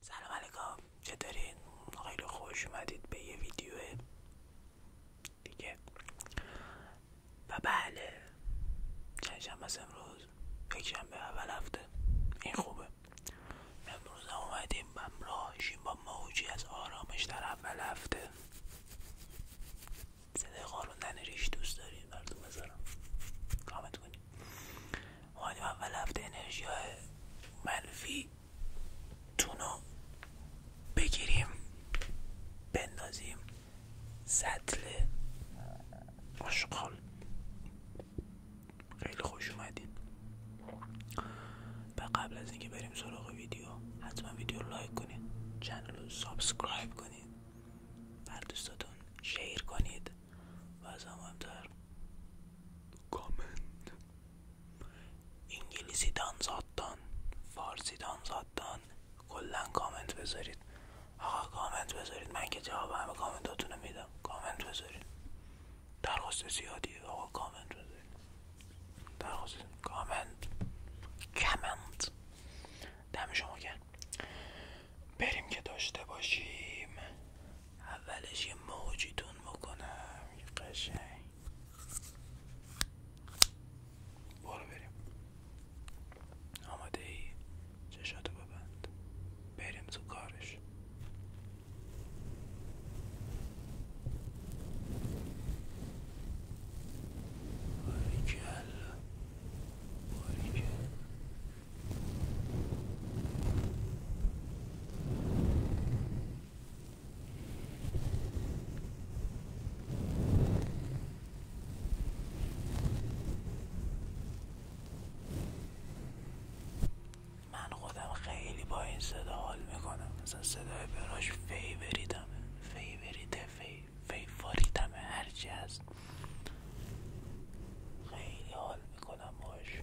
سلام علیکم چطورین؟ خیلی خوش اومدید به یه ویدیو دیگه و بله چند از امروز روز به اول هفته این خوبه امروز هم اومدیم همراه با موجی از آرامش در اول هفته صدای قاروندن ریش دوست داریم براتون بذارم کامت کنیم اومدیم اول هفته انرژی های منفی تونو بگیریم بندازیم سطل آشغال خیلی خوش اومدین و قبل از اینکه بریم سراغ ویدیو حتما ویدیو لایک کنید چنل رو سابسکرایب کنید بر دوستاتون شیر کنید و از در کامنت انگلیسی دان زادتان فارسی دان کلا کامنت بذارید آقا کامنت بذارید من که جواب همه کامنتاتون رو میدم کامنت بذارید درخواست زیادیه آقا کامنت بذارید درخواست کامنت کامنت دم شما کن بریم که داشته باشیم اولش یه موجیتون بکنم یه قشنگ برو بریم آماده ای چشاتو ببند بریم تو کارش من خودم خیلی با این صدا حال میکنم مثلا صدای براش فی فیوریته فی بریده فی هرچی هست خیلی حال میکنم باش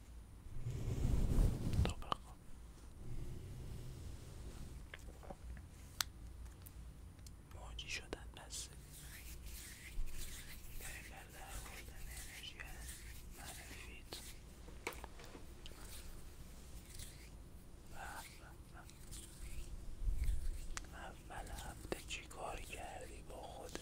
طبق موجی شدن از در در بردن انرژی از منفیت و اول هفته چی کار کردی با خودت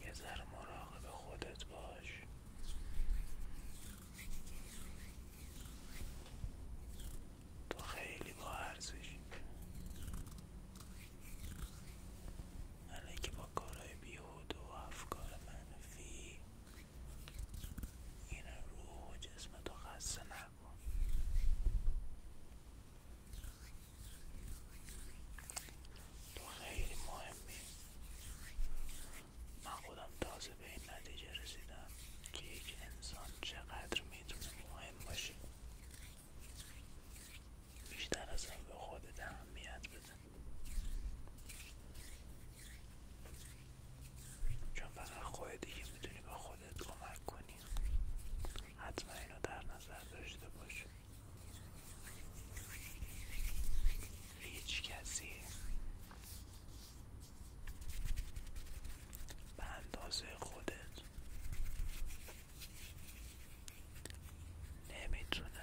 یه در مراقب خودت باش تو خیلی با ارزشی که با کارهای بیهوده و افکار منفی این روح جسم تو خسته نکن تو خیلی مهمی من خودم تازه به این نتیجه رسیدم که یک انسان چقدر میتونه مهم باشه بیشتر از هم به خودت اهمیت بده چون فقط خودت دیگه میتونی به خودت کمک کنی حتما اینو در نظر داشته باش هیچ کسی به اندازه خودت نمیتونه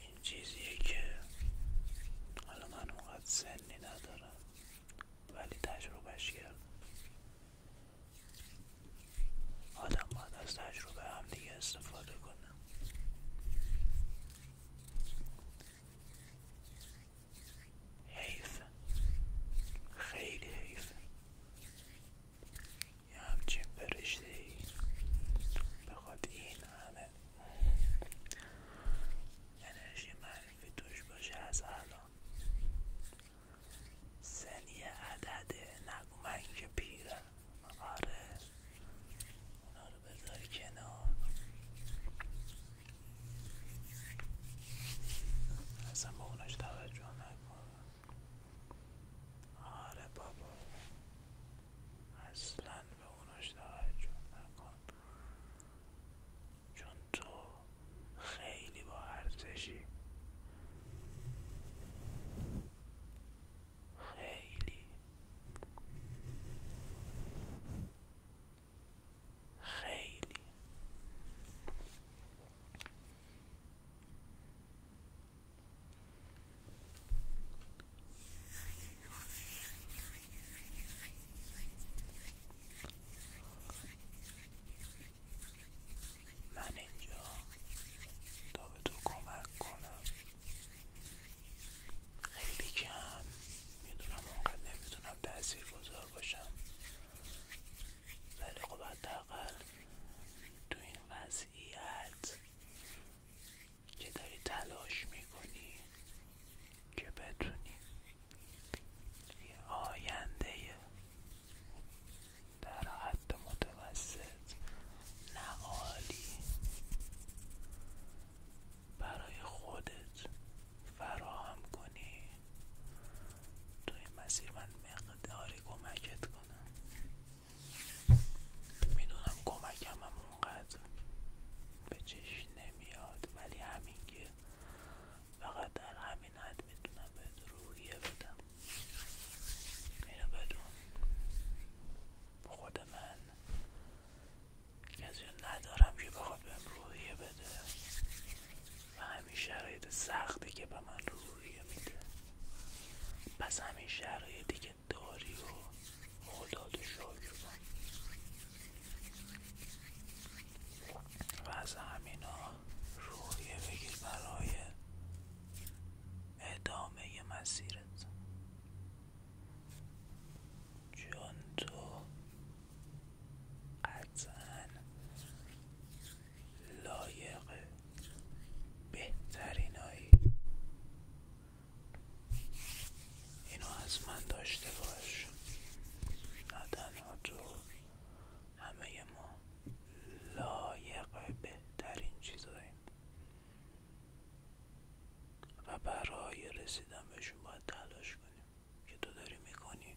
این چیزیه که حالا من اونقدر سنی ندارم ولی تجربهش کردم آدم باید از تجربه هم دیگه استفاده کنه حیفه خیلی حیفه یه همچین برشته ای بخواد این همه انرژی معرفی توش باشه از الان سنی عدد عدده نگو که آره اونا رو بذار کنار اصلا به اوناش توجه نکن آره بابا اصلا به اوناش جون نکن چون تو خیلی با ارزشی خیلی خیلی من اینجا تا به تو کمک کنم خیلی کم میدونم اونقدر نمیتونم تأثیر گذار باشم ولی خب حداقل تو این وضعیت که داری تلاش میکنی که بتونی یه آینده در حد متوسط نقالی برای خودت فراهم کنی توی مسیر من مقداری کمکت کنم میدونم کمکم هم اونقدر به چشم نمیاد ولی همین که فقط در همین حد میتونم به روحیه بدم اینو بدون خود من کسی ندارم که بخواد بهم روحیه بده و همین شرایط سختی که به من روحیه میده پس همین شرایطی که داری و خدا تو شکر و از همینها روحیه بگیر برای ادامه مسیرت چون تو قطعا لایق بهترینهایی اینو از من داشته باش نه همه ما لایق بهترین چیزاییم و برای رسیدن بهشون باید تلاش کنیم که تو داری میکنی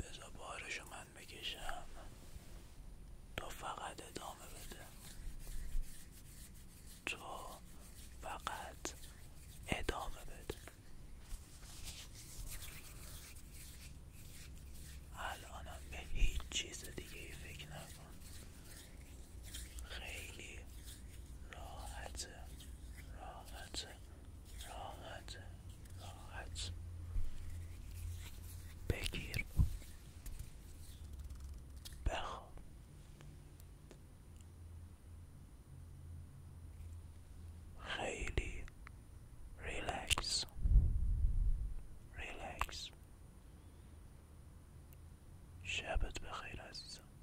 بذار بارشو من بکشم تو فقط ادامه بده تو فقط ادامه بده الانم به هیچ چیز دیگه فکر نکن خیلی راحته راحته راحت راحت بگیر بخواب خیلی ریلکس ریلکس شبت بخیر عزیزم